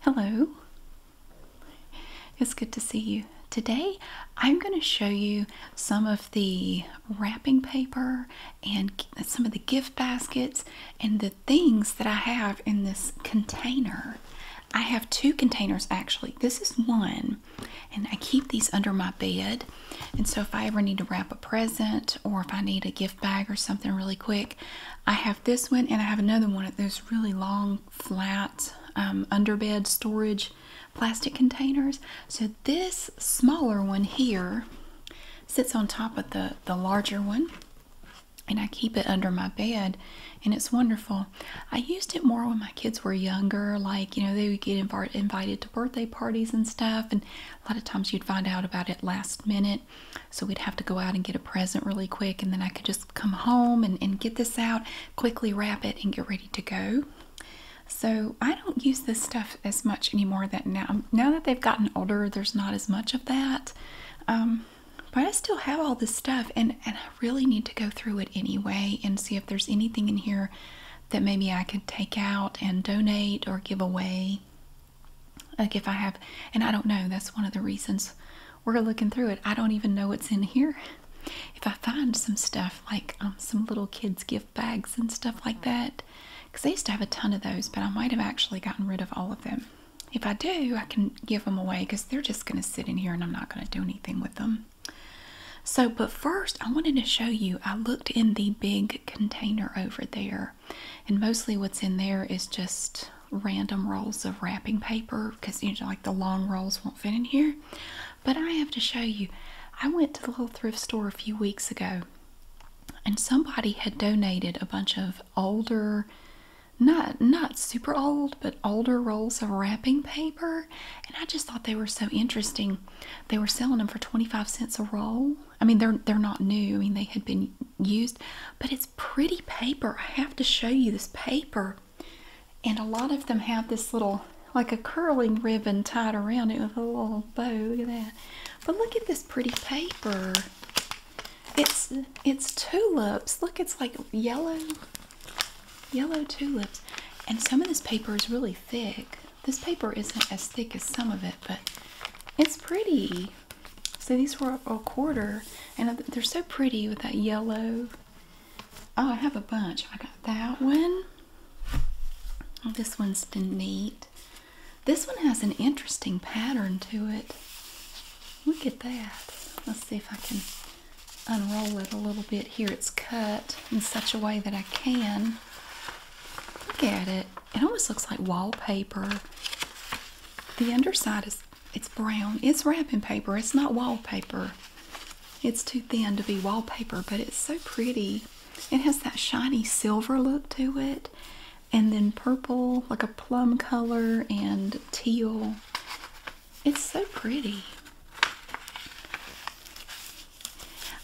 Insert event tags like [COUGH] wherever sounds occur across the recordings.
Hello, it's good to see you. Today I'm going to show you some of the wrapping paper and some of the gift baskets and the things that I have in this container. I have two containers actually. This is one, and I keep these under my bed. And so if I ever need to wrap a present or if I need a gift bag or something really quick, I have this one and I have another one of those really long, flat um, underbed storage plastic containers. So this smaller one here sits on top of the, the larger one and I keep it under my bed and it's wonderful. I used it more when my kids were younger, like, you know, they would get invited to birthday parties and stuff, and a lot of times you'd find out about it last minute so we'd have to go out and get a present really quick, and then I could just come home and, get this out, quickly wrap it, and get ready to go. So I don't use this stuff as much anymore. That now, now that they've gotten older, there's not as much of that. Um, but I still have all this stuff, and I really need to go through it anyway and see if there's anything in here that maybe I could take out and donate or give away. Like if I have, and I don't know. That's one of the reasons we're looking through it. I don't even know what's in here. If I find some stuff like um, some little kids' gift bags and stuff like that, because I used to have a ton of those, but I might have actually gotten rid of all of them. If I do, I can give them away because they're just going to sit in here and I'm not going to do anything with them. So, but first, I wanted to show you. I looked in the big container over there, and mostly what's in there is just random rolls of wrapping paper because you know like the long rolls won't fit in here but i have to show you i went to the little thrift store a few weeks ago and somebody had donated a bunch of older not not super old but older rolls of wrapping paper and i just thought they were so interesting they were selling them for 25 cents a roll i mean they're they're not new i mean they had been used, but it's pretty paper. I have to show you this paper. And a lot of them have this little, like a curling ribbon tied around it with a little bow. Look at that. But look at this pretty paper. It's it's tulips. Look, it's like yellow, yellow tulips. And some of this paper is really thick. This paper isn't as thick as some of it, but it's pretty. So these were a quarter, and they're so pretty with that yellow. Oh, I have a bunch. I got that one. this one's neat. This one has an interesting pattern to it. Look at that. Let's see if I can unroll it a little bit here. It's cut in such a way that I can. Look at it. It almost looks like wallpaper. The underside is it's brown. It's wrapping paper. It's not wallpaper. It's too thin to be wallpaper, but it's so pretty. It has that shiny silver look to it, and then purple, like a plum color, and teal. It's so pretty.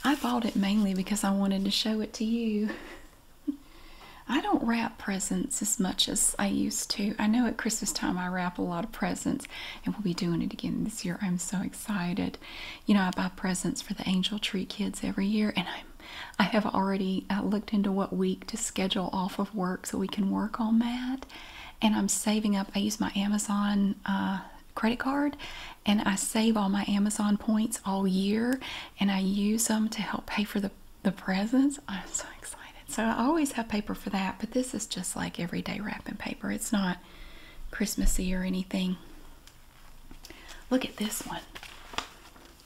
I bought it mainly because I wanted to show it to you. [LAUGHS] I don't wrap presents as much as I used to. I know at Christmas time I wrap a lot of presents, and we'll be doing it again this year. I'm so excited. You know, I buy presents for the Angel Tree kids every year, and I'm I have already uh, looked into what week to schedule off of work so we can work on that. And I'm saving up. I use my Amazon uh, credit card, and I save all my Amazon points all year, and I use them to help pay for the the presents. I'm so excited. So I always have paper for that, but this is just like everyday wrapping paper. It's not Christmassy or anything. Look at this one.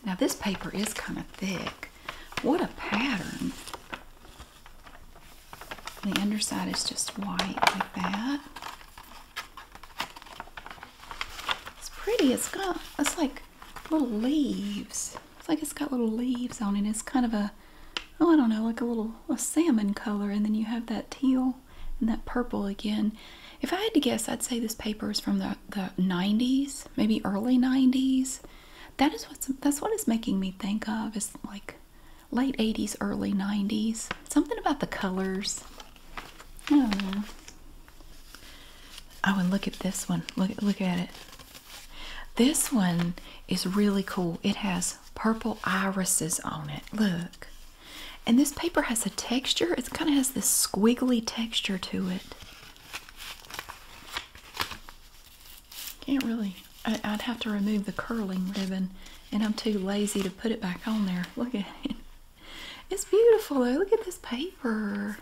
Now this paper is kind of thick. What a pattern. The underside is just white like that. It's pretty. It's got, it's like little leaves. It's like it's got little leaves on it. It's kind of a, oh, I don't know, like a little a salmon color. And then you have that teal and that purple again. If I had to guess, I'd say this paper is from the, the 90s, maybe early 90s. That is what's, that's what it's making me think of. is like late 80s, early 90s. Something about the colors. I don't know. Oh, and look at this one. Look, look at it. This one is really cool. It has purple irises on it. Look. And this paper has a texture. It kind of has this squiggly texture to it. Can't really. I, would have to remove the curling ribbon, and I'm too lazy to put it back on there. Look at it. It's beautiful though. Look at this paper.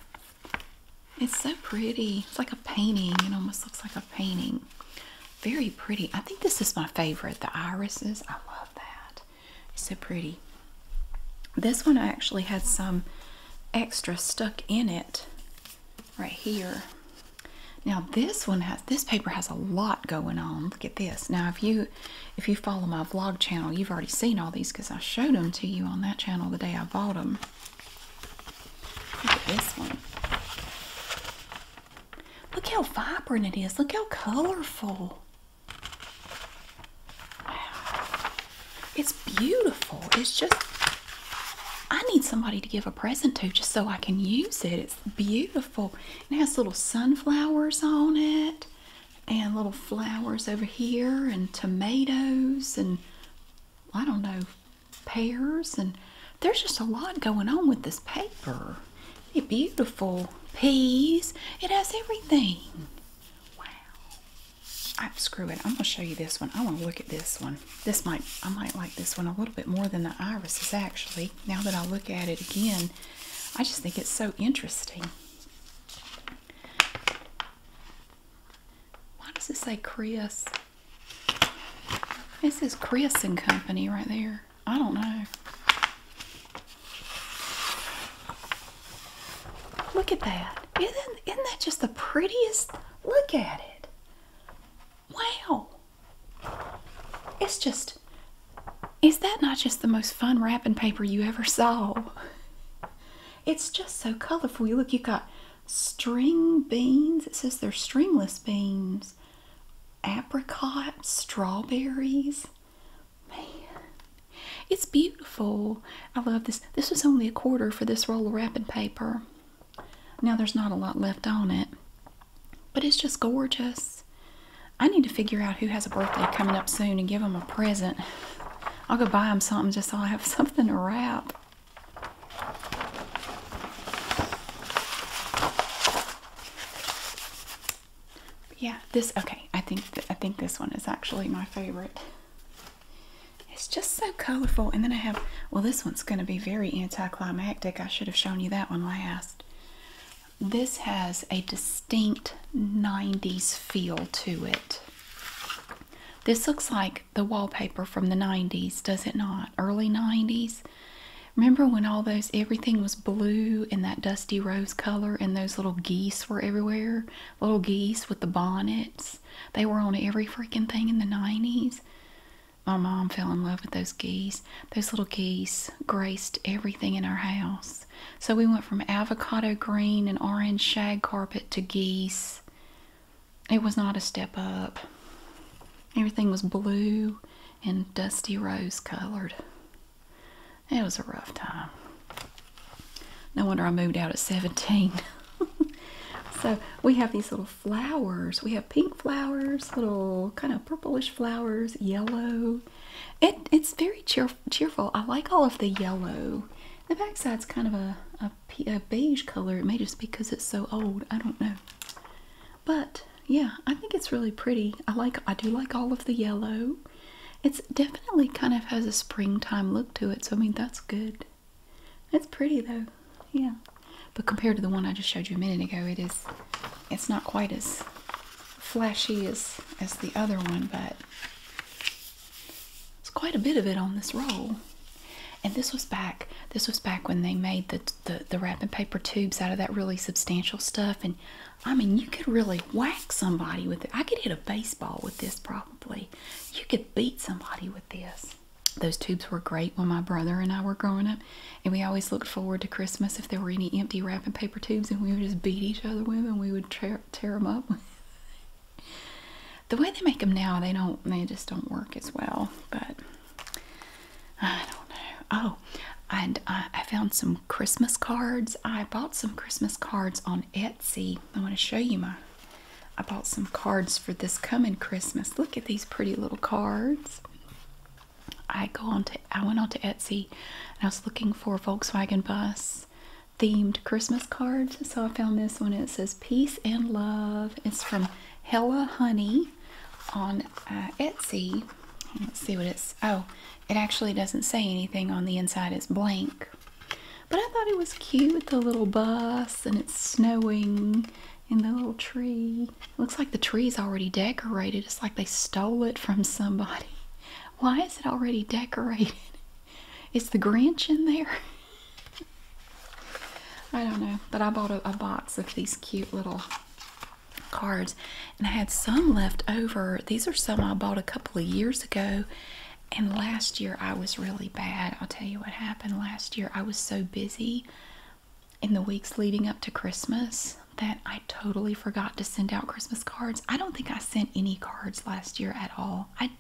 It's so pretty. It's like a painting. It almost looks like a painting. Very pretty. I think this is my favorite. The irises. I love that. It's so pretty. This one actually had some extra stuck in it right here. Now this one has this paper has a lot going on. Look at this. Now if you if you follow my vlog channel, you've already seen all these because I showed them to you on that channel the day I bought them. Look at this one. Look how vibrant it is. Look how colorful. Wow. It's beautiful. It's just, I need somebody to give a present to just so I can use it. It's beautiful. It has little sunflowers on it and little flowers over here and tomatoes and I don't know pears, and there's just a lot going on with this paper. It's beautiful. Peas. It has everything. Wow. I screw it. I'm gonna show you this one. I want to look at this one. This might I might like this one a little bit more than the irises actually. Now that I look at it again, I just think it's so interesting. Why does it say Chris? This is Chris and Company right there. I don't know. Look at that. that just the prettiest? Look at it. Wow. It's just, is that not just the most fun wrapping paper you ever saw? It's just so colorful. You look, you got string beans. It says they're stringless beans. Apricot strawberries. Man, it's beautiful. I love this. This was only a quarter for this roll of wrapping paper. Now there's not a lot left on it, but it's just gorgeous. I need to figure out who has a birthday coming up soon and give them a present. I'll go buy them something just so I have [LAUGHS] something to wrap. Yeah, this okay. I think I think this one is actually my favorite. It's just so colorful, and then I have well, this one's going to be very anticlimactic. I should have shown you that one last. This has a distinct '90s feel to it. This looks like the wallpaper from the 90s, does it not? Early 90s. Remember when all those everything was blue and that dusty rose color and those little geese were everywhere? Little geese with the bonnets. They were on every freaking thing in the 90s. My mom fell in love with those geese. Those little geese graced everything in our house. So we went from avocado green and orange shag carpet to geese. It was not a step up. Everything was blue and dusty rose colored. It was a rough time. No wonder I moved out at 17. [LAUGHS] so we have these little flowers. We have pink flowers, little kind of purplish flowers, yellow. It, it's very cheer cheerful. I like all of the yellow the backside's kind of a, a, beige color. It may just be because it's so old. I don't know. But yeah, I think it's really pretty. I like I do like all of the yellow. It's definitely kind of has a springtime look to it. So I mean that's good. It's pretty though. Yeah. But compared to the one I just showed you a minute ago, it is it's not quite as flashy as as the other one, but it's quite a bit of it on this roll. And this was back this was back when they made the the, wrapping paper tubes out of that really substantial stuff. And I mean you could really whack somebody with it. I could hit a baseball with this probably. You could beat somebody with this. Those tubes were great when my brother and I were growing up, and we always looked forward to Christmas if there were any empty wrapping paper tubes, and we would just beat each other with them. We would tear, tear them up. [LAUGHS] the way they make them now, they don't, they just don't work as well. But I don't know. Oh, and I, found some Christmas cards. I bought some Christmas cards on Etsy. I want to show you my. I bought some cards for this coming Christmas. Look at these pretty little cards. I go on to I went on to Etsy and I was looking for Volkswagen bus themed Christmas cards. So I found this one. It says peace and love. is from Hella Honey on uh, Etsy. Let's see what it's. Oh, it actually doesn't say anything on the inside. It's blank. But I thought it was cute the little bus and it's snowing and the little tree. looks like the tree is already decorated. It's like they stole it from somebody. [LAUGHS] Why is it already decorated? Is the Grinch in there? [LAUGHS] I don't know, but I bought a, box of these cute little cards and I had some left over. These are some I bought a couple of years ago. And last year I was really bad. I'll tell you what happened last year. I was so busy in the weeks leading up to Christmas that I totally forgot to send out Christmas cards. I don't think I sent any cards last year at all. I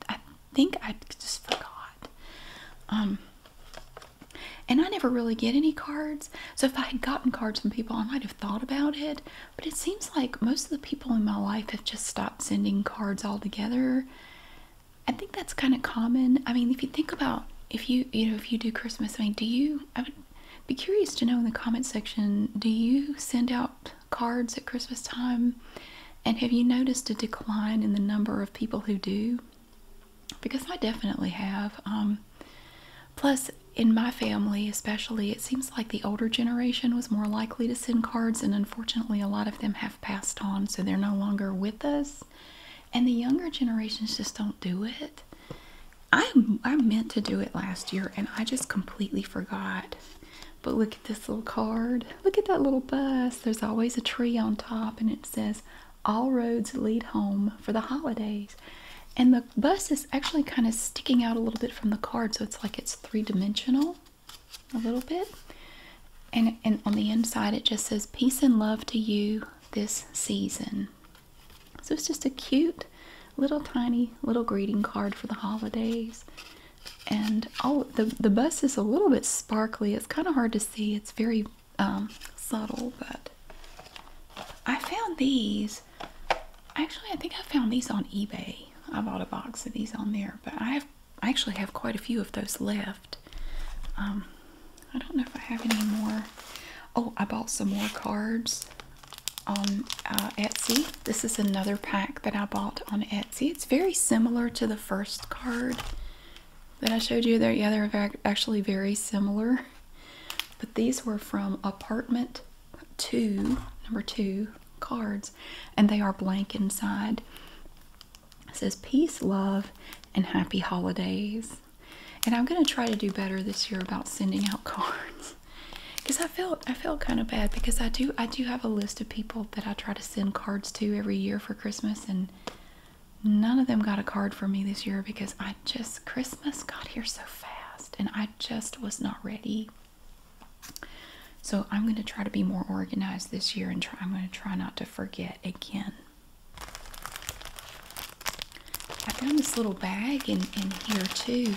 think I just forgot. Um, and I never really get any cards. So if I had gotten cards from people, I might have thought about it. But it seems like most of the people in my life have just stopped sending cards altogether. I think that's kind of common. I mean, if you think about if you you know if you do Christmas, I mean, do you? I would be curious to know in the comment section. Do you send out cards at Christmas time? And have you noticed a decline in the number of people who do? Because I definitely have. Um, plus, in my family especially, it seems like the older generation was more likely to send cards, and unfortunately, a lot of them have passed on, so they're no longer with us. And the younger generations just don't do it. I, I meant to do it last year, and I just completely forgot. But look at this little card. Look at that little bus. There's always a tree on top, and it it says all roads lead home for the holidays. And the bus is actually kind of sticking out a little bit from the card, so it's like it's three dimensional a little bit. And, and on the inside, it just says peace and love to you this season. So it's just a cute little tiny little greeting card for the holidays. And oh, the, the bus is a little bit sparkly. It's kind of hard to see. It's very um, subtle, but I found these. Actually, I think I found these on eBay. I bought a box of these on there, but I have I actually have quite a few of those left. Um, I don't know if I have any more. Oh, I bought some more cards on uh, Etsy. This is another pack that I bought on Etsy. It's very similar to the first card that I showed you there. Yeah, they're actually very similar. But these were from Apartment 2, number 2 cards, and they are blank inside. It says peace, love, and happy holidays. And I'm going to try to do better this year about sending out [LAUGHS] cards. Because I felt I felt kind of bad because I do I do have a list of people that I try to send cards to every year for Christmas and None of them got a card for me this year because I just, Christmas got here so fast and I just was not ready. So I'm going to try to be more organized this year and try, I'm going to try not to forget again. I found this little bag in, in here too.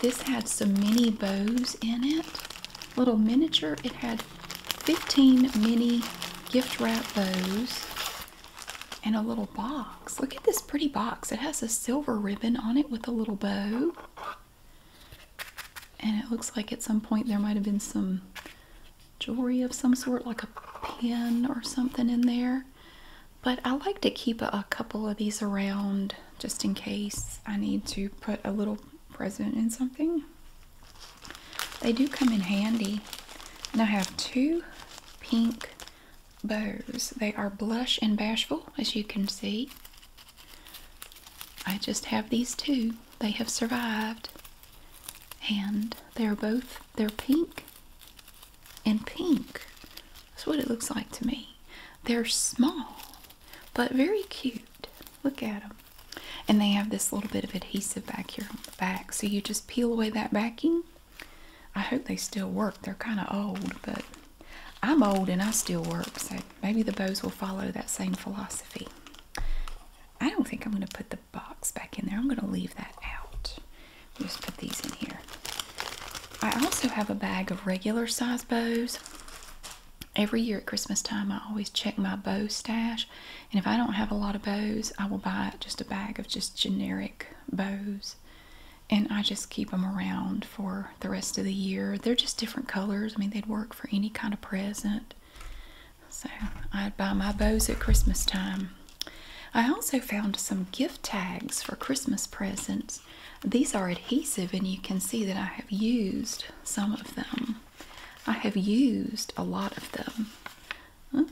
This had some mini bows in it little miniature. It had 15 mini gift wrap bows and a little box. Look at this pretty box. It has a silver ribbon on it with a little bow. And it looks like at some point there might have been some jewelry of some sort, like a pin or something in there. But I like to keep a, couple of these around just in case I need to put a little present in something. They do come in handy. And I have two pink bows. They are blush and bashful, as you can see. I just have these two. They have survived. And they're both, they're pink and pink. That's what it looks like to me. They're small, but very cute. Look at them. And they have this little bit of adhesive back here on the back. So you just peel away that backing. I hope they still work. They're kind of old, but I'm old and I still work. So maybe the bows will follow that same philosophy. I don't think I'm going to put the box back in there. I'm going to leave that out. Just put these in here. I also have a bag of regular size bows. Every year at Christmas time, I always check my bow stash and if I don't have a lot of bows, I will buy just a bag of just generic bows. And I just keep them around for the rest of the year. They're just different colors. I mean, they'd work for any kind of present. So I'd buy my bows at Christmas time. I also found some gift tags for Christmas presents. These are adhesive and you can see that I have used some of them. I have used a lot of them. Oh,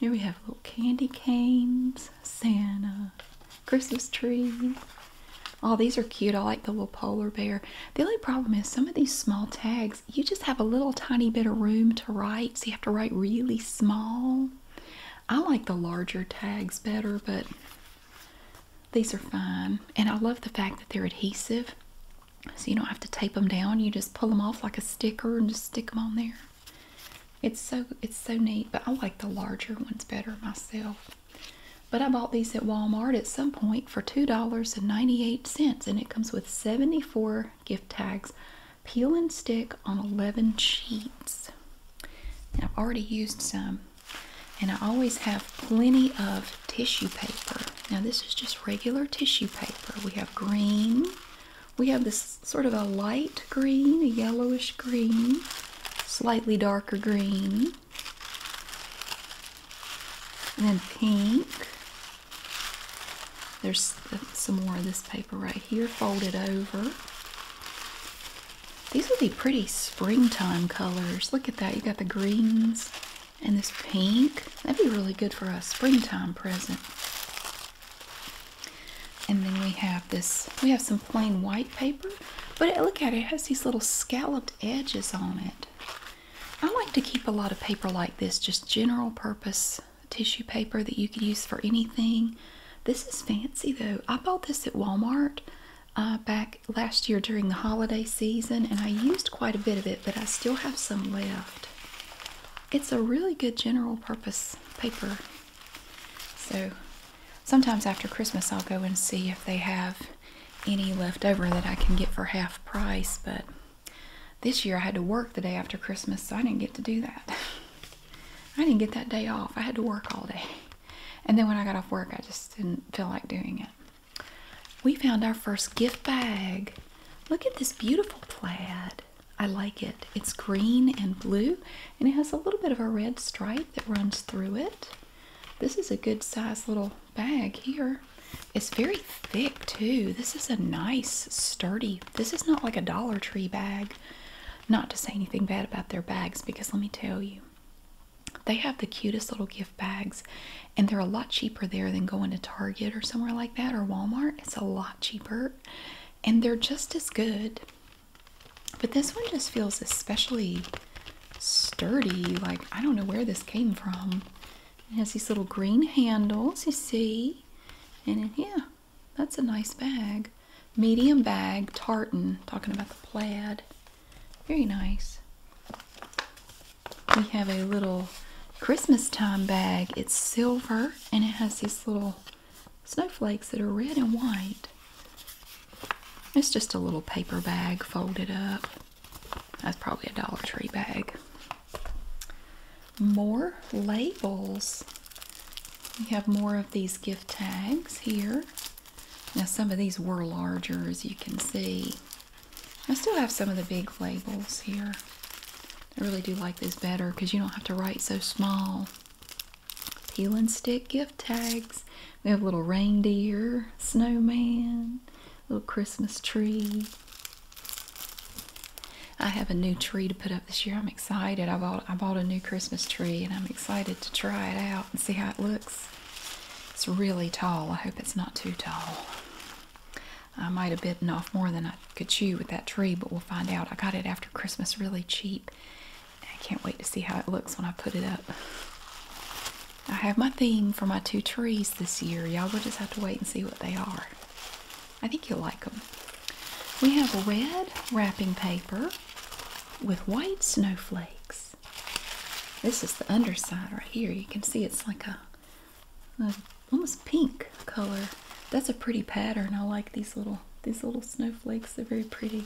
here we have little candy canes, Santa, Christmas tree. Oh, these are cute. I like the little polar bear. The only problem is some of these small tags, you just have a little tiny bit of room to write, so you have to write really small. I like the larger tags better, but these are fine. And I love the fact that they're adhesive. So you don't have to tape them down. You just pull them off like a sticker and just stick them on there. It's so it's so neat, but I like the larger ones better myself. But I bought these at Walmart at some point for $2.98 and it comes with 74 gift tags. Peel and stick on 11 sheets. I've already used some and I always have plenty of tissue paper. Now this is just regular tissue paper. We have green. We have this sort of a light green, a yellowish green, slightly darker green, and then pink. There's some more of this paper right here folded over. These would be pretty springtime colors. Look at that. You got the greens, and this pink. That'd be really good for a springtime present. And then we have this, we have some plain white paper, but look at it, it has these little scalloped edges on it. I like to keep a lot of paper like this, just general purpose tissue paper that you could use for anything. This is fancy though. I bought this at Walmart uh, back last year during the holiday season and I used quite a bit of it, but I still have some left. It's a really good general purpose paper. So sometimes after Christmas, I'll go and see if they have any left over that I can get for half price, but this year I had to work the day after Christmas, so I didn't get to do that. [LAUGHS] I didn't get that day off. I had to work all day. And then when I got off work, I just didn't feel like doing it. We found our first gift bag. Look at this beautiful plaid. I like it. It's green and blue, and it has a little bit of a red stripe that runs through it. This is a good size little bag here. It's very thick too. This is a nice, sturdy. This is not like a Dollar Tree bag. Not to say anything bad about their bags because let me tell you, they have the cutest little gift bags and they're a lot cheaper there than going to Target or somewhere like that or Walmart. It's a lot cheaper and they're just as good. But this one just feels especially sturdy. Like, I don't know where this came from. It has these little green handles, you see. And it, yeah, that's a nice bag. Medium bag, tartan. Talking about the plaid. Very nice we have a little Christmas time bag. It's silver and it has these little snowflakes that are red and white. It's just a little paper bag folded up. That's probably a Dollar Tree bag. More labels. We have more of these gift tags here. Now some of these were larger as you can see. I still have some of the big labels here. I really do like this better because you don't have to write so small. Peel and stick gift tags. We have little reindeer, snowman, little Christmas tree. I have a new tree to put up this year. I'm excited. I bought I bought a new Christmas tree and I'm excited to try it out and see how it looks. It's really tall. I hope it's not too tall. I might have bitten off more than I could chew with that tree, but we'll find out. I got it after Christmas really cheap. I can't wait to see how it looks when I put it up. I have my theme for my two trees this year. Y'all will just have to wait and see what they are. I think you'll like them. We have red wrapping paper with white snowflakes. This is the underside right here. You can see it's like a uh, almost pink color. That's a pretty pattern. I like these little these little snowflakes. They're very pretty.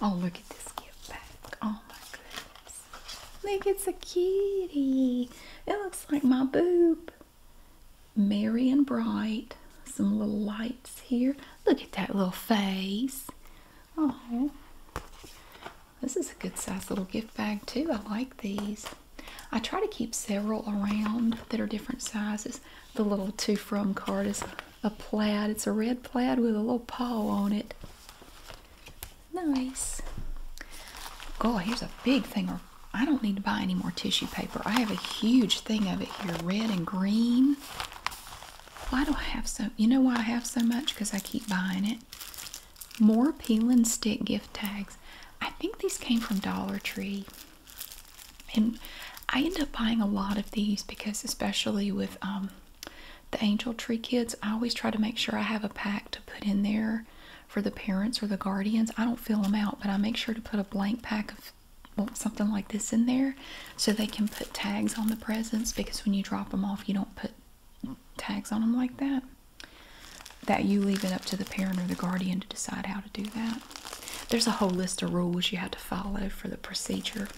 Oh, look at this gift bag. Oh my goodness. Look, it's a kitty. It looks like my boob. Merry and bright. Some little lights here. Look at that little face. Oh, this is a good size little gift bag too. I like these. I try to keep several around that are different sizes. The little two from card is a plaid. It's a red plaid with a little paw on it. Nice. God, here's a big thing. Or I don't need to buy any more tissue paper. I have a huge thing of it here, red and green. Why do I have so? You know why I have so much? Because I keep buying it. More peel and stick gift tags. I think these came from Dollar Tree. And I end up buying a lot of these because, especially with um, the Angel Tree kids, I always try to make sure I have a pack to put in there for the parents or the guardians. I don't fill them out, but I make sure to put a blank pack of something like this in there so they can put tags on the presents because when you drop them off, you don't put tags on them like that. That you leave it up to the parent or the guardian to decide how to do that. There's a whole list of rules you have to follow for the procedure.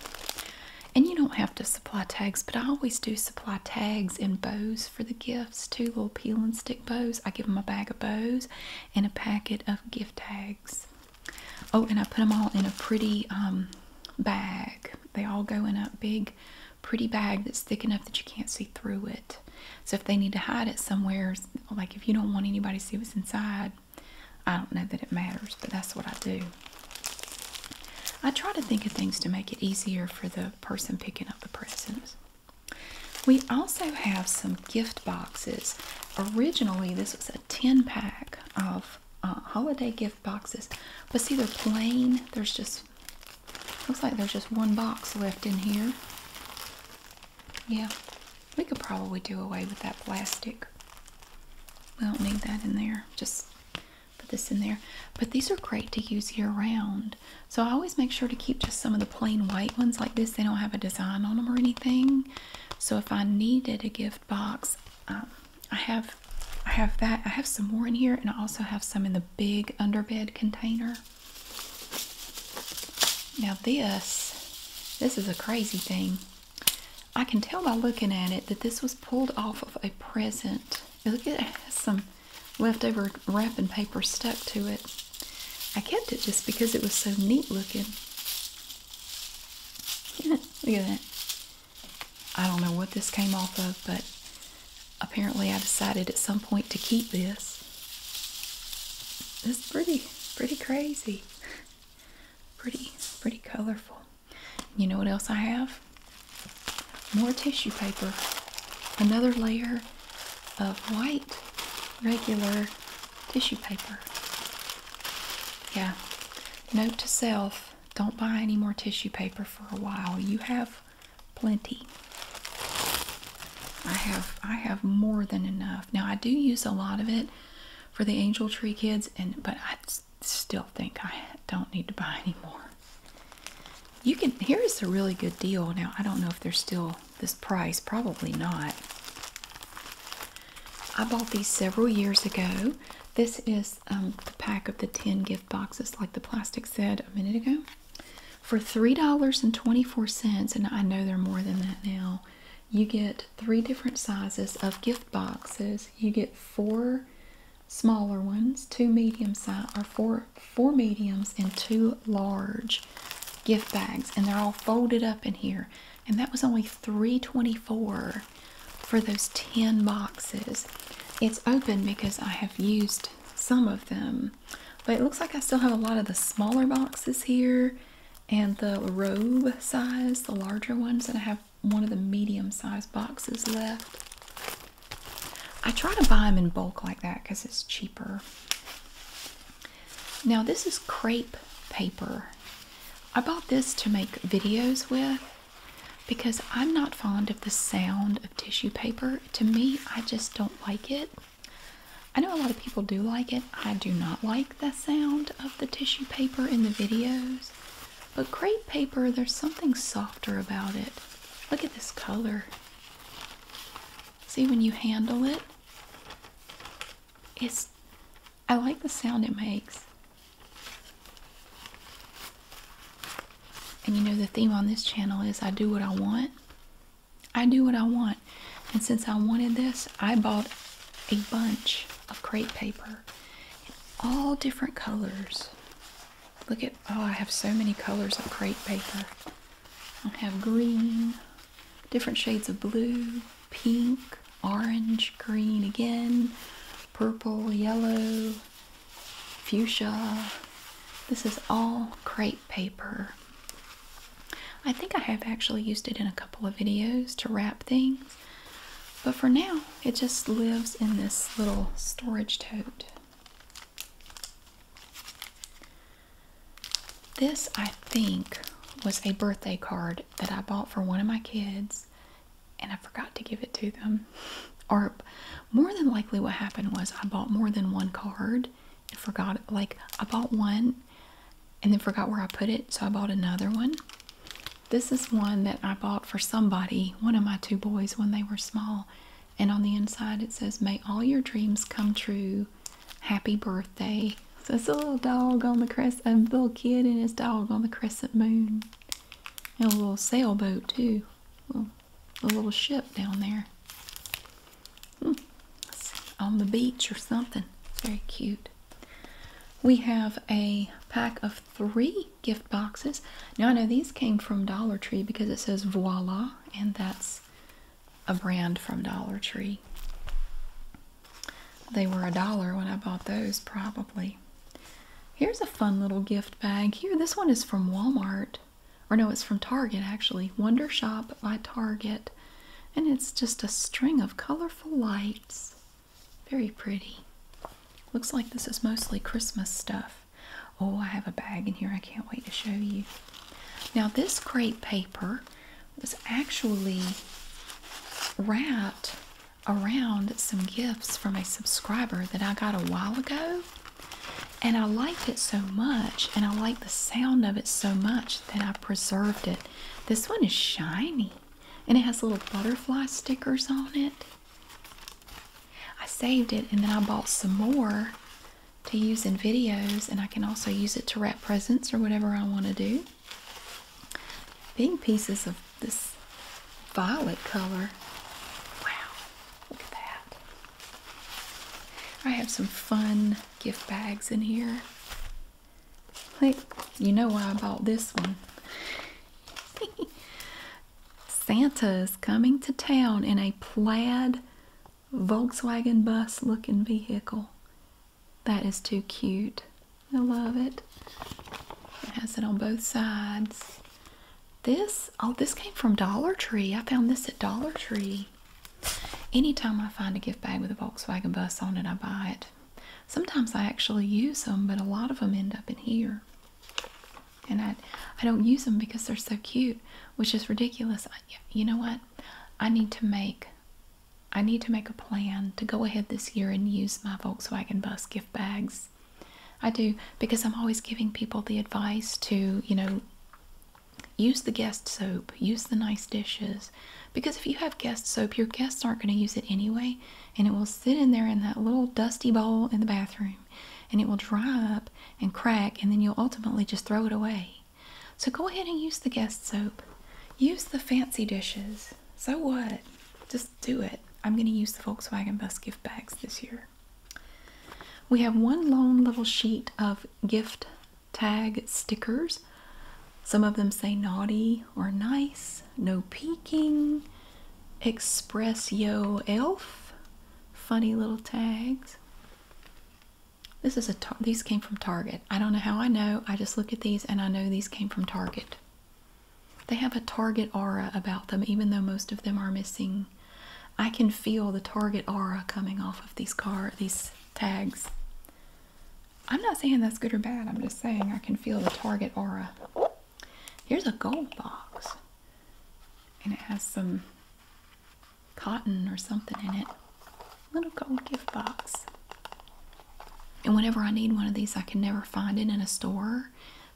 And you don't have to supply tags, but I always do supply tags and bows for the gifts too little peel and stick bows. I give them a bag of bows and a packet of gift tags. Oh, and I put them all in a pretty um, bag. They all go in a big, pretty bag that's thick enough that you can't see through it. So if they need to hide it somewhere, like if you don't want anybody to see what's inside, I don't know that it matters, but that's what I do. I try to think of things to make it easier for the person picking up the presents. We also have some gift boxes. Originally, this was a 10 pack of uh, holiday gift boxes. But see, they're plain. There's just, looks like there's just one box left in here. Yeah, we could probably do away with that plastic. We don't need that in there. Just put this in there. But these are great to use year round. So I always make sure to keep just some of the plain white ones like this. They don't have a design on them or anything. So if I needed a gift box, um, I have I have that. I have some more in here and I also have some in the big underbed container. Now this this is a crazy thing. I can tell by looking at it that this was pulled off of a present. Look at it has some leftover wrapping paper stuck to it. I kept it just because it was so neat looking. [LAUGHS] Look at that. I don't know what this came off of, but apparently I decided at some point to keep this. It's pretty, pretty crazy. Pretty, pretty colorful. You know what else I have? More tissue paper. Another layer of white, regular tissue paper. Yeah. Note to self don't buy any more tissue paper for a while. You have plenty. I have I have more than enough. Now I do use a lot of it for the angel tree kids and but I still think I don't need to buy any more. You can here is a really good deal. Now I don't know if there's still this price, probably not. I bought these several years ago. This is um, the pack of the 10 gift boxes, like the plastic said a minute ago, for $3.24. And I know they're more than that now. You get three different sizes of gift boxes. You get four smaller ones, two medium size, or four four mediums and two large gift bags, and they're all folded up in here. And that was only $3.24 for those 10 boxes. It's open because I have used some of them, but it looks like I still have a lot of the smaller boxes here and the robe size, the larger ones, and I have one of the medium size boxes left. I try to buy them in bulk like that because it's cheaper. Now, this is crepe paper. I bought this to make videos with because I'm not fond of the sound of tissue paper. To me, I just don't like it. I know a lot of people do like it. I do not like the sound of the tissue paper in the videos. But crepe paper, there's something softer about it. Look at this color. See, when you handle it, it's. I like the sound it makes. And you know, the theme on this channel is I do what I want. I do what I want. And since I wanted this, I bought a bunch of crepe paper in all different colors. Look at, oh, I have so many colors of crepe paper. I have green, different shades of blue, pink, orange, green again, purple, yellow, fuchsia. This is all crepe paper. I think I have actually used it in a couple of videos to wrap things, but for now it just lives in this little storage tote. This, I think, was a birthday card that I bought for one of my kids and I forgot to give it to them. Or more than likely, what happened was I bought more than one card and forgot Like, I bought one and then forgot where I put it, so I bought another one. This is one that I bought for somebody, one of my two boys, when they were small. And on the inside, it says, May all your dreams come true. Happy birthday. So it's a little dog on the crescent, a little kid and his dog on the crescent moon. And a little sailboat too. a little ship down there. Hmm, on the beach or something. very cute. We have a pack of three gift boxes. Now I know these came from Dollar Tree because it says voila, and that's a brand from Dollar Tree. They were a dollar when I bought those, probably. Here's a fun little gift bag. Here, this one is from Walmart. Or no, it's from Target actually. Wonder Shop by Target. And it's just a string of colorful lights. Very pretty. Looks like this is mostly Christmas stuff. Oh, I have a bag in here I can't wait to show you. Now, this crepe paper was actually wrapped around some gifts from a subscriber that I got a while ago. And I liked it so much, and I liked the sound of it so much that I preserved it. This one is shiny and it has little butterfly stickers on it. I saved it and then I bought some more to use in videos, and I can also use it to wrap presents or whatever I want to do. Big pieces of this violet color. Wow, look at that. I have some fun gift bags in here. Like, you know why I bought this one. [LAUGHS] Santa's coming to town in a plaid Volkswagen bus looking vehicle. That is too cute. I love it. It has it on both sides. This, oh, this came from Dollar Tree. I found this at Dollar Tree. Anytime I find a gift bag with a Volkswagen bus on it, I buy it. Sometimes I actually use them, but a lot of them end up in here. And I, I don't use them because they're so cute, which is ridiculous. you know what? I need to make, I need to make a plan to go ahead this year and use my Volkswagen bus gift bags I do because I'm always giving people the advice to, you know, use the guest soap, use the nice dishes. Because if you have guest soap, your guests aren't going to use it anyway, and it will sit in there in that little dusty bowl in the bathroom and it will dry up and crack, and then you'll ultimately just throw it away. So go ahead and use the guest soap, use the fancy dishes. So what? do it. I'm going to use the Volkswagen bus gift bags this year. We have one lone little sheet of gift tag stickers. Some of them say naughty or nice, no peeking, express yo elf, funny little tags. This is a these came from Target. I don't know how I know. I just look at these and I know these came from Target. They have a target aura about them, even though most of them are missing. I can feel the target aura coming off of these car these tags. I'm not saying that's good or bad. I'm just saying I can feel the target aura. Here's a gold box. And it has some cotton or something in it. Little gold gift box. And whenever I need one of these, I can never find it in a store.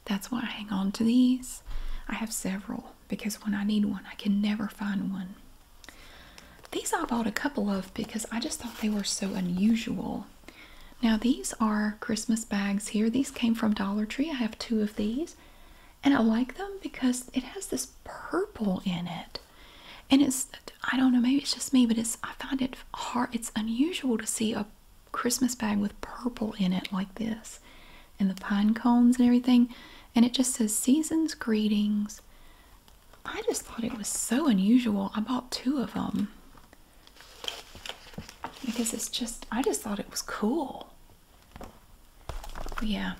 That's why I hang on to these. I have several because when I need one, I can never find one. These I bought a couple of because I just thought they were so unusual. Now, these are Christmas bags here. These came from Dollar Tree. I have two of these. And I like them because it has this purple in it. And it's, I don't know, maybe it's just me, but it's, I find it hard, it's unusual to see a Christmas bag with purple in it, like this, and the pine cones and everything. And it just says Season's Greetings. I just thought it was so unusual. I bought two of them because it's just, I just thought it was cool. yeah,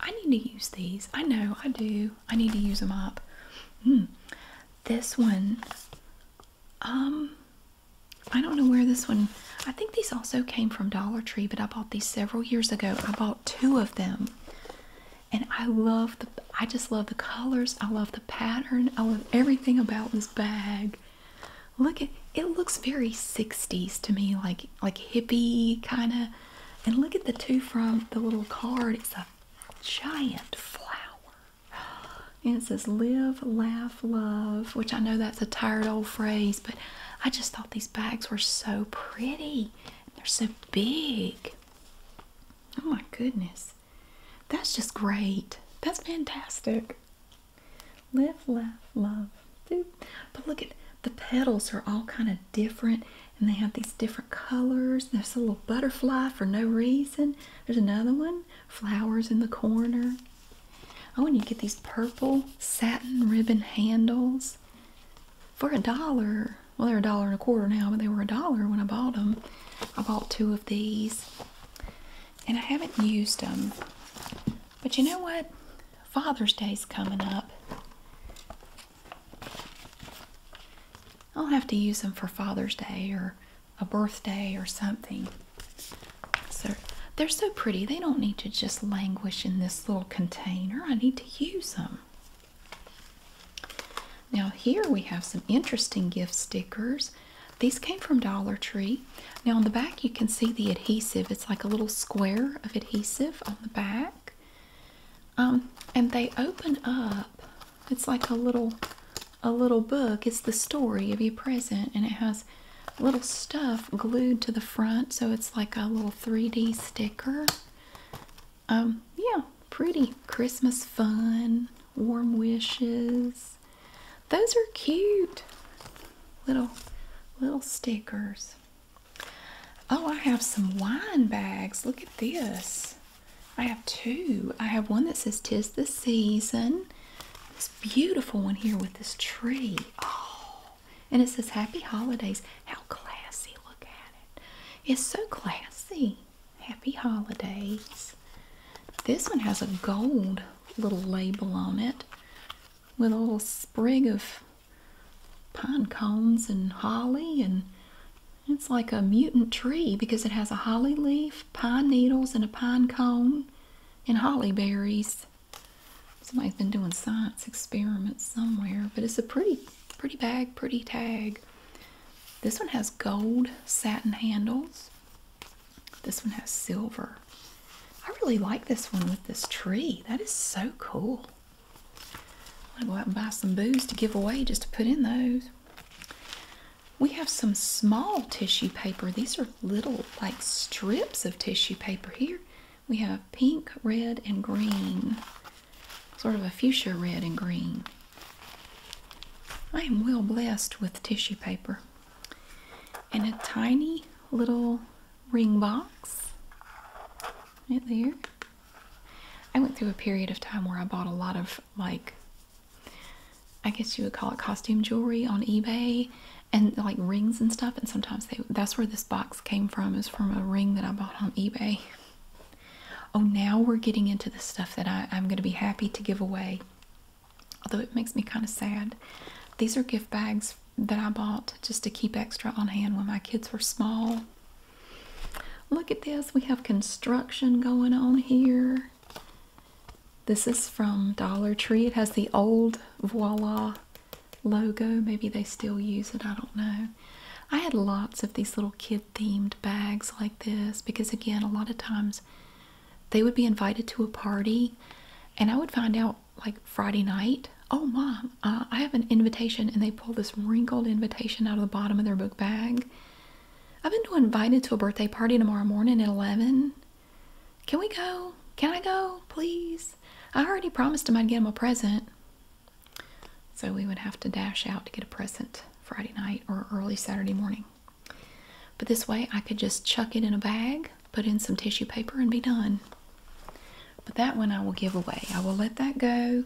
I need to use these. I know I do. I need to use them up. Mm. This one um, I don't know where this one. I think these also came from Dollar Tree, but I bought these several years ago. I bought two of them, and I love the. I just love the colors. I love the pattern. I love everything about this bag. Look at it. Looks very '60s to me, like like hippie kind of. And look at the two from the little card. It's a giant flower. And it says live, laugh, love, which I know that's a tired old phrase, but I just thought these bags were so pretty. They're so big. Oh my goodness. That's just great. That's fantastic. Live, laugh, love. But look at the petals are all kind of different and they have these different colors. There's a little butterfly for no reason. There's another one flowers in the corner. Oh, and you get these purple satin ribbon handles for a dollar. Well, they're a dollar and a quarter now, but they were a dollar when I bought them. I bought two of these and I haven't used them. But you know what? Father's Day's coming up. I'll have to use them for Father's Day or a birthday or something. So they're so pretty. They don't need to just languish in this little container. I need to use them. Now here we have some interesting gift stickers. These came from Dollar Tree. Now on the back you can see the adhesive. It's like a little square of adhesive on the back. Um, and they open up. It's like a little a little book. It's the story of your present, and it has little stuff glued to the front, so it's like a little 3D sticker. Um, yeah, pretty Christmas fun, warm wishes. Those are cute little little stickers. Oh, I have some wine bags. Look at this. I have two. I have one that says "Tis the Season." beautiful one here with this tree. Oh, and it says Happy Holidays. How classy! Look at it. It's so classy. Happy Holidays. This one has a gold little label on it with a little sprig of pine cones and holly and it's like a mutant tree because it has a holly leaf, pine needles, and a pine cone and holly berries. Somebody's been doing science experiments somewhere, but it's a pretty, pretty bag, pretty tag. This one has gold satin handles. This one has silver. I really like this one with this tree. That is so cool. I'm gonna go out and buy some booze to give away just to put in those we have some small tissue paper. These are little, like, strips of tissue paper here. We have pink, red, and green. Sort of a fuchsia red and green. I am well blessed with tissue paper. And a tiny little ring box. Right there. I went through a period of time where I bought a lot of, like, I guess you would call it costume jewelry on eBay and like rings and stuff. And sometimes that's where this box came from is from a ring that I bought on eBay. Oh, now we're getting into the stuff that I'm going to be happy to give away. Although it makes me kind of sad. These are gift bags that I bought just to keep extra on hand when my kids were small. Look at this. We have construction going on here. This is from Dollar Tree. It has the old Voila logo. Maybe they still use it. I don't know. I had lots of these little kid themed bags like this because, again, a lot of times they would be invited to a party and I would find out like Friday night, oh, mom, uh, I have an invitation. And they pull this wrinkled invitation out of the bottom of their book bag. I've been invited to a birthday party tomorrow morning at 11. Can we go? Can I go, please? I already promised him I'd get him a present. So we would have to dash out to get a present Friday night or early Saturday morning. But this way I could just chuck it in a bag, put in some tissue paper, and be done. But that one I will give away. I will let that go.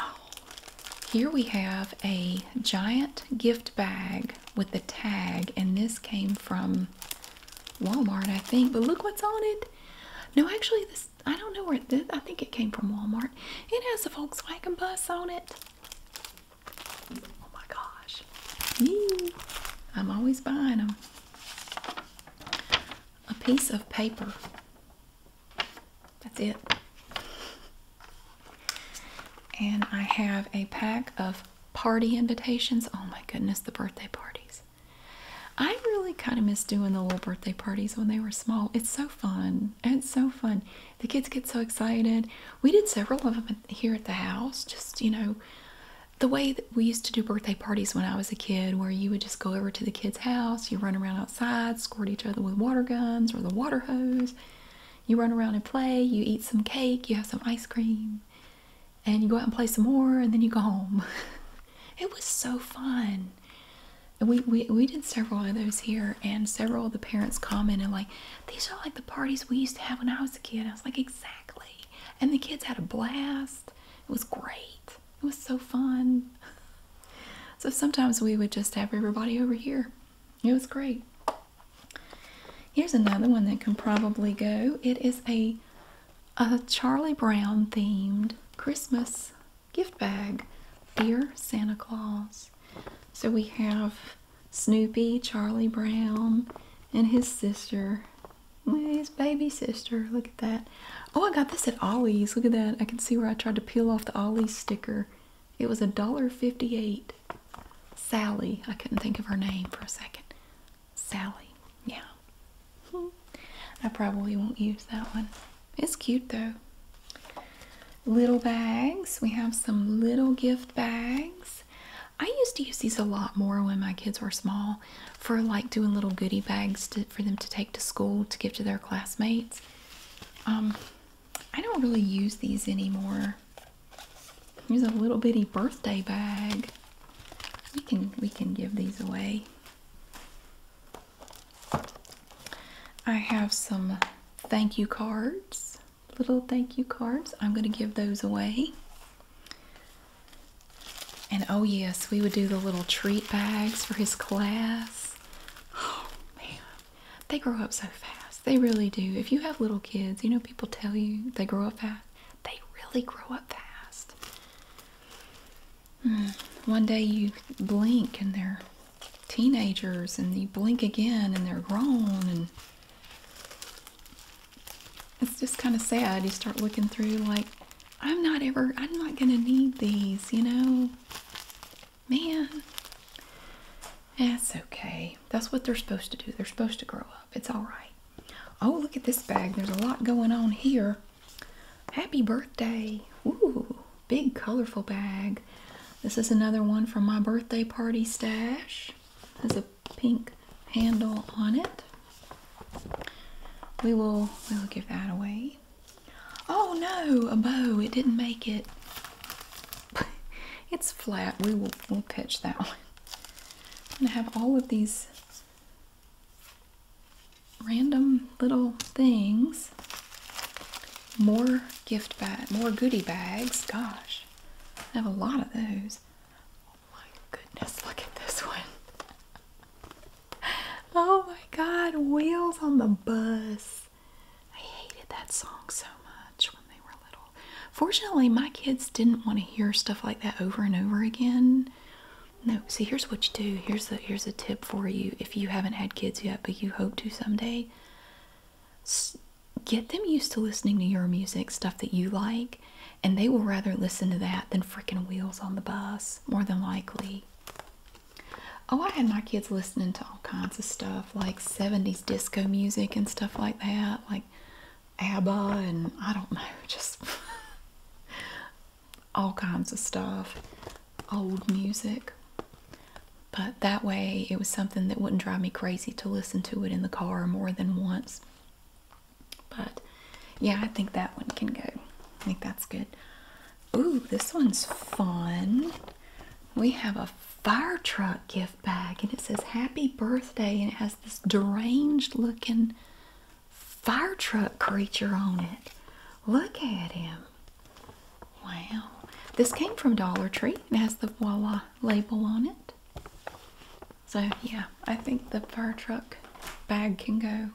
Oh, here we have a giant gift bag with the tag, and this came from Walmart, I think. But look what's on it. No, actually, this I don't know where I think it came from Walmart. It has a Volkswagen bus on it. Oh my gosh! I'm always buying them. A piece of paper. That's it. And I have a pack of party invitations. Oh my goodness, the birthday parties. I really kind of miss doing the little birthday parties when they were small. It's so fun. It's so fun. The kids get so excited. We did several of them here at the house. Just, you know, the way that we used to do birthday parties when I was a kid, where you would just go over to the kids' house, you run around outside, squirt each other with water guns or the water hose. You run around and play, you eat some cake, you have some ice cream, and you go out and play some more and then you go home. [LAUGHS] it was so fun. And we, we, we did several of those here and several of the parents commented like, these are like the parties we used to have when I was a kid. I was like, exactly. And the kids had a blast. It was great. It was so fun. [LAUGHS] So sometimes we would just have everybody over here. It was great. Here's another one that can probably go. It is a a Charlie Brown themed Christmas gift bag. Dear Santa Claus. So we have Snoopy, Charlie Brown, and his sister. His baby sister. Look at that. Oh, I got this at Ollie's. Look at that. I can see where I tried to peel off the Ollie's sticker. It was a dollar fifty-eight. Sally. I couldn't think of her name for a second. Sally. Yeah. I probably won't use that one. It's cute though. Little bags. We have some little gift bags. I used to use these a lot more when my kids were small for like doing little goodie bags for them to take to school to give to their classmates. Um, I don't really use these anymore. Here's a little bitty birthday bag. We can we can give these away. I have some thank you cards. Little thank you cards. I'm going to give those away. And oh yes, we would do the little treat bags for his class. Oh man. They grow up so fast. They really do. If you have little kids, you know people tell you they grow up fast they really grow up fast. Hmm. One day you blink and they're teenagers, and you blink again and they're grown, and it's just kind of sad. You start looking through like, I'm not ever, I'm not gonna need these, you know? Man, that's okay. That's what they're supposed to do. They're supposed to grow up. It's all right. Oh, look at this bag. There's a lot going on here. Happy birthday. Ooh, big colorful bag. This is another one from my birthday party stash. Has a pink handle on it. We will we will give that away. Oh no, a bow. It didn't make it. [LAUGHS] it's flat. We will we'll pitch that one. I'm gonna have all of these random little things. More gift bag, more goodie bags. Gosh, I have a lot of those. Oh my goodness, look at this one. [LAUGHS] oh my god, Wheels on the Bus. I hated that song so much. Fortunately, my kids didn't want to hear stuff like that over and over again. No, see, here's what you do. Here's a here's a tip for you if you haven't had kids yet, but you hope to someday. Get them used to listening to your music, stuff that you like, and they will rather listen to that than freaking Wheels on the Bus, more than likely. Oh, I had my kids listening to all kinds of stuff like 70s disco music and stuff like that, like ABBA and I don't know, [LAUGHS] just all kinds of stuff, old music. But that way, it was something that wouldn't drive me crazy to listen to it in the car more than once. But yeah, I think that one can go. I think that's good. Ooh, this one's fun. We have a fire truck gift bag and it says happy birthday and it has this deranged looking fire truck creature on it. Look at him. Wow. This came from Dollar Tree and has the voila label on it. So yeah, I think the fire truck bag can go.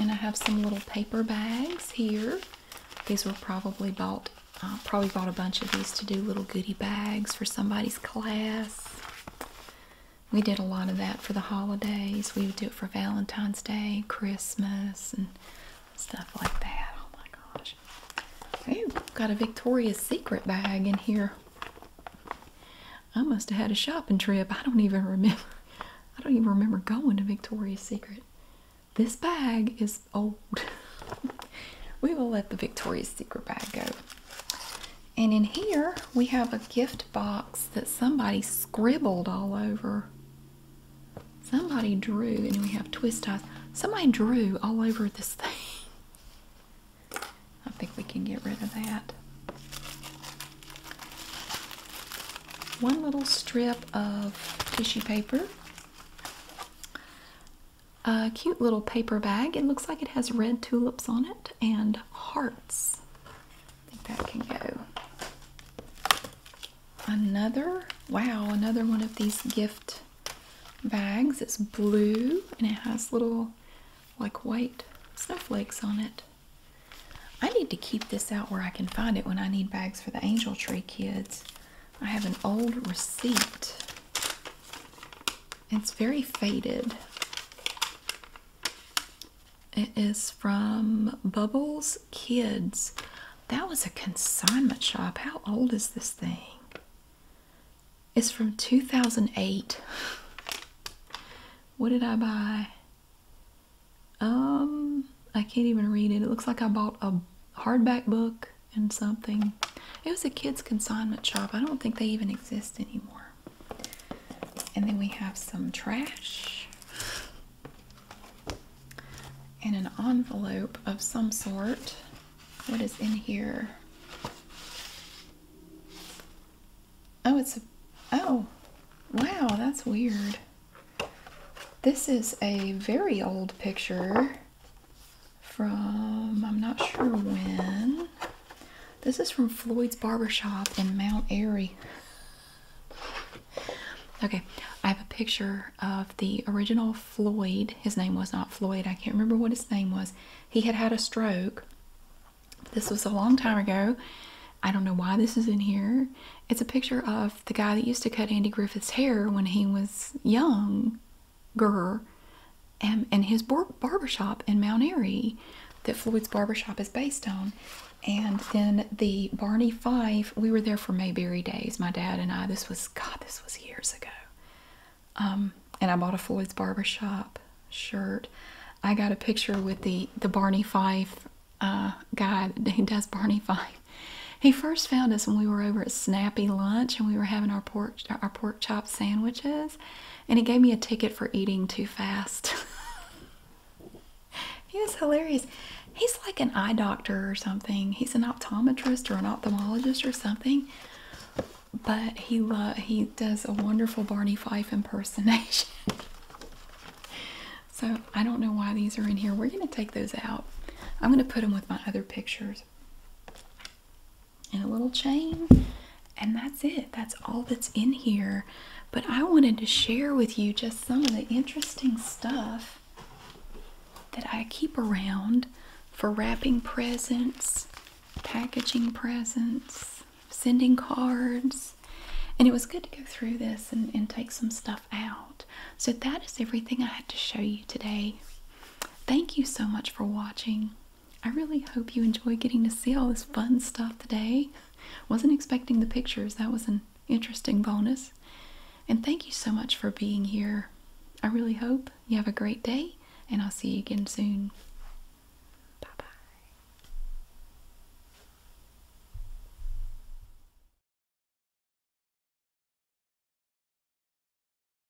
And I have some little paper bags here. These were probably bought probably bought a bunch of these to do little goodie bags for somebody's class. We did a lot of that for the holidays. We would do it for Valentine's Day, Christmas, and stuff like that. Oh my gosh. Ooh, got a Victoria's Secret bag in here. I must have had a shopping trip. I don't even remember. [LAUGHS] I don't even remember going to Victoria's Secret. This bag is old. [LAUGHS] we will let the Victoria's Secret bag go. And in here, we have a gift box that somebody scribbled all over. Somebody drew, and we have twist ties. Somebody drew all over this thing. [LAUGHS] I think we can get rid of that. One little strip of tissue paper a cute little paper bag. It looks like it has red tulips on it and hearts. I think that can go. Another, wow, another one of these gift bags. It's blue and it has little like white snowflakes on it. I need to keep this out where I can find it when I need bags for the angel tree kids. I have an old receipt it's very faded. It is from Bubbles Kids. That was a consignment shop. How old is this thing? It's from 2008. What did I buy? Um, I can't even read it. It looks like I bought a hardback book and something. It was a kids' consignment shop. I don't think they even exist anymore. And then we have some trash and an envelope of some sort. What is in here? Oh, it's a. Oh, wow, that's weird. This is a very old picture from I'm not sure when. This is from Floyd's Barbershop in Mount Airy. Okay, I have a picture of the original Floyd. His name was not Floyd, I can't remember what his name was. He had had a stroke. This was a long time ago. I don't know why this is in here. It's a picture of the guy that used to cut Andy Griffith's hair when he was young. Gurr and, and his barbershop in Mount Airy that Floyd's barbershop is based on. And then the Barney Fife. we were there for Mayberry Days, my dad and I. This was, God, this was years ago. Um, and I bought a Floyd's barbershop shirt. I got a picture with the, the Barney Fife uh, guy. He does Barney [LAUGHS] Fife. He first found us when we were over at Snappy Lunch and we were having our porch, our porch chop sandwiches, and he gave me a ticket for eating too fast. [LAUGHS] he was hilarious. He's like an eye doctor or something. He's an optometrist or an ophthalmologist or something. But he he does a wonderful Barney Fife impersonation. [LAUGHS] so I don't know why these are in here. We're gonna take those out. I'm gonna put them with my other pictures and a little chain. And that's it. That's all that's in here. But I wanted to share with you just some of the interesting stuff that I keep around for wrapping presents, packaging presents, sending cards. And it was good to go through this and, take some stuff out. So that is everything I had to show you today. Thank you so much for watching. I really hope you enjoy getting to see all this fun stuff today. Wasn't expecting the pictures. That was an interesting bonus. And thank you so much for being here. I really hope you have a great day, and I'll see you again soon. Bye bye.